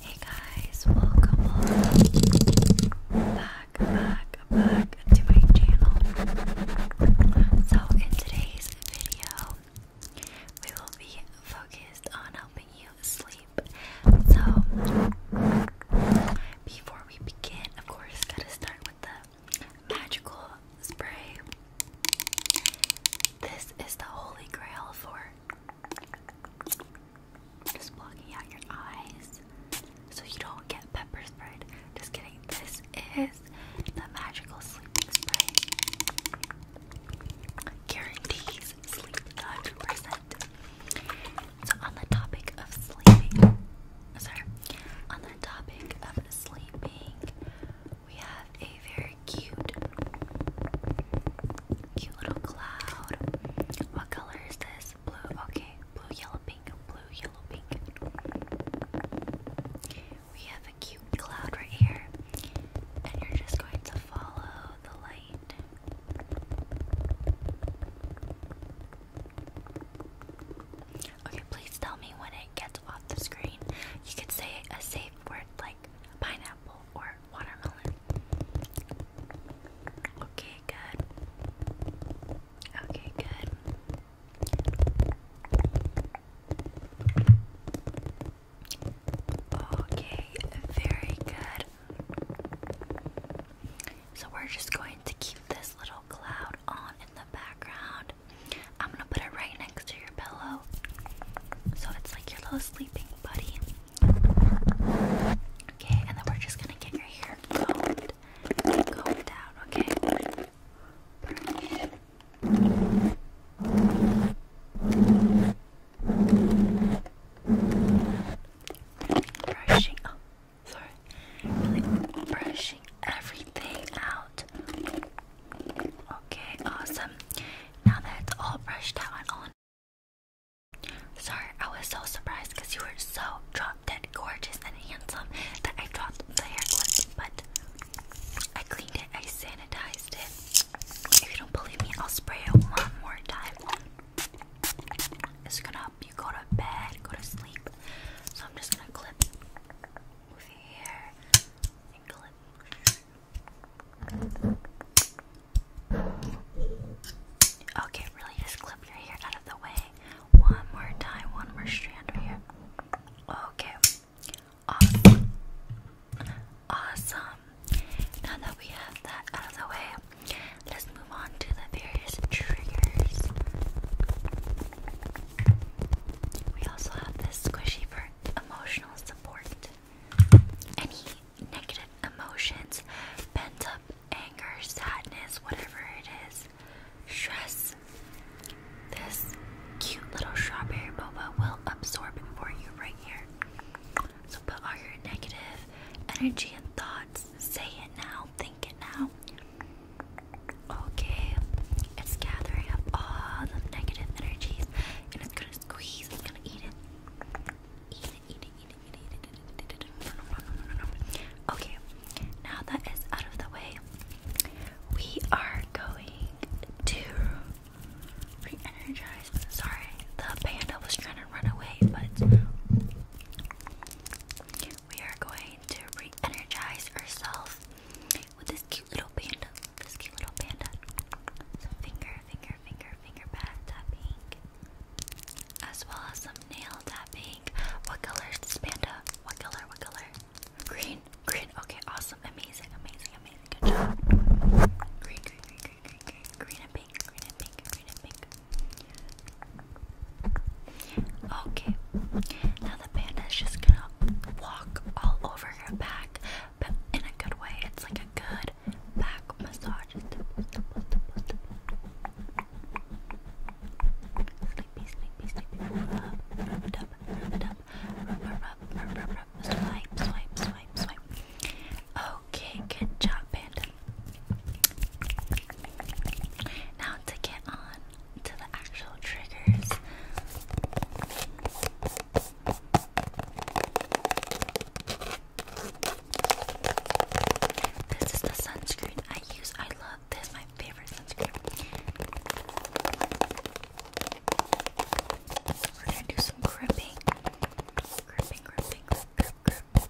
Hey guys, welcome, back, back, back to my channel. So, in today's video, we will be focused on helping you sleep. So, before we begin, of course, gotta start with the magical spray. This is the holy grail for just blocking out your eyes so you don't get pepper sprayed. Just kidding. This is the magical sleeping spray. Guarantees sleep 100%. So on the topic of sleeping, sorry, on the topic of sleeping, we have a very cute, cute little cloud. What color is this? Blue, okay. Blue, yellow, pink, blue, yellow, pink. We have a cute cloud right here, and you're just going to follow the light. Okay, please tell me when it gets off the screen. You could say a safe word like pineapple or watermelon. Okay, good. Okay, good. Okay, very good. So we're just going to keep this little cloud on in the background I'm gonna put it right next to your pillow. So it's like your little sleeping buddy. Okay, and then we're just gonna get your hair combed. Combed down, okay? Brushing, oh, sorry, brushing everything out. Okay, awesome. Now that it's all brushed out and on. Sorry, I was so surprised because you were so drop dead gorgeous and handsome that I dropped the hair clip, but I cleaned it, I sanitized it. If you don't believe me, I'll spray it one more time. It's gonna help you go to bed, go to sleep. So I'm just gonna clip with the Okay, really just clip your hair out of the way. One more time, one more strand right here. Okay. Awesome. Awesome. Now that we have that out of the way, let's move on to the various triggers. We also have this squishy for emotional support. Any negative emotions, pent up anger, sadness, whatever it is, stress. This cute little strawberry boba will absorb it for you right here. So put all your negative energy and thoughts, say it now, think it now, Okay, it's gathering up all the negative energies and it's gonna squeeze, it's gonna eat it. Eat it, eat it, eat it, eat it, eat it, eat it. No, no, no, no, no, no. Okay, now that is out of the way, we are going to re energize. Sorry, the panda was trying to run away, but we are going to re energize ourselves with this cute little panda. This cute little panda. Some finger, finger, finger, finger pad tapping. As well as some nail tapping. What color is this panda? What color? What color? Green. Green. Okay, awesome. Amazing, amazing, amazing. Good job. Green, green, green, green, green, green. Green and pink. Green and pink. Green and pink. Okay, now the panda is just gonna walk all over your back, but in a good way. It's like a good back massage. Okay, good job, panda. Now, to get on to the actual triggers, this is the sunscreen I use. I love this, my favorite sunscreen. We're gonna do some gripping, gripping, gripping, grip,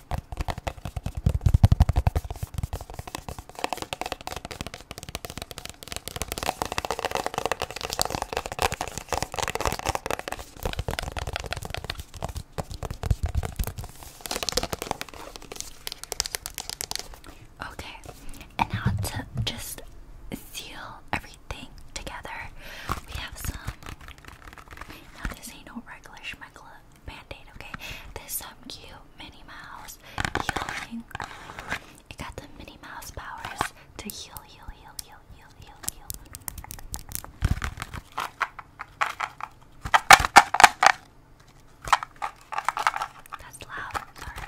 Okay, and now to just seal everything together, we have some. Now, this ain't no regular schmeckla band-aid, okay? This is cute Minnie Mouse healing. It got the Minnie Mouse powers to heal, heal, heal, heal, heal, heal, heal. That's loud, sorry.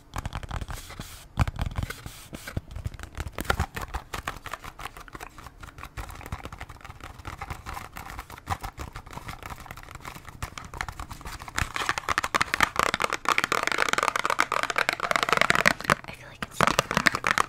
I feel like it's tapping. I hope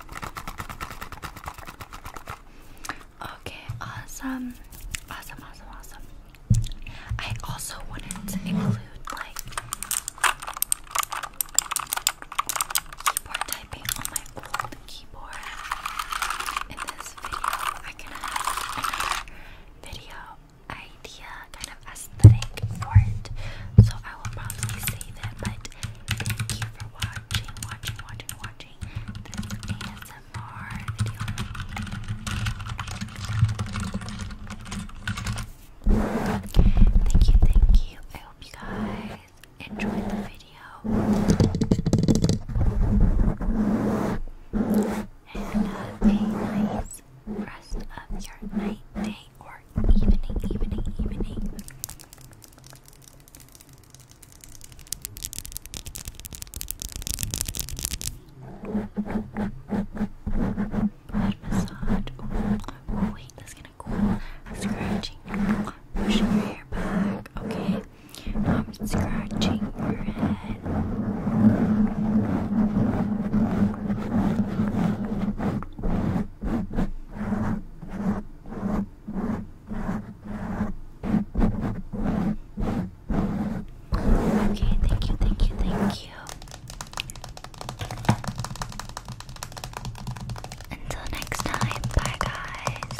Okay, awesome. Awesome, awesome, awesome. I also wanted to include like keyboard typing on my old keyboard in this video. I can have another video idea kind of aesthetic for it. So I will probably save it, but Thank you for watching, watching, watching, watching this ASMR Thank you, thank you. I hope you guys enjoyed the video. And a nice rest of your night, day, evening, evening, evening. massage. Oh wait, that's gonna cool. Scratching. Pushing your hair back. Okay. Now I'm scratching your head. Okay, thank you, thank you, thank you. Until next time, bye guys.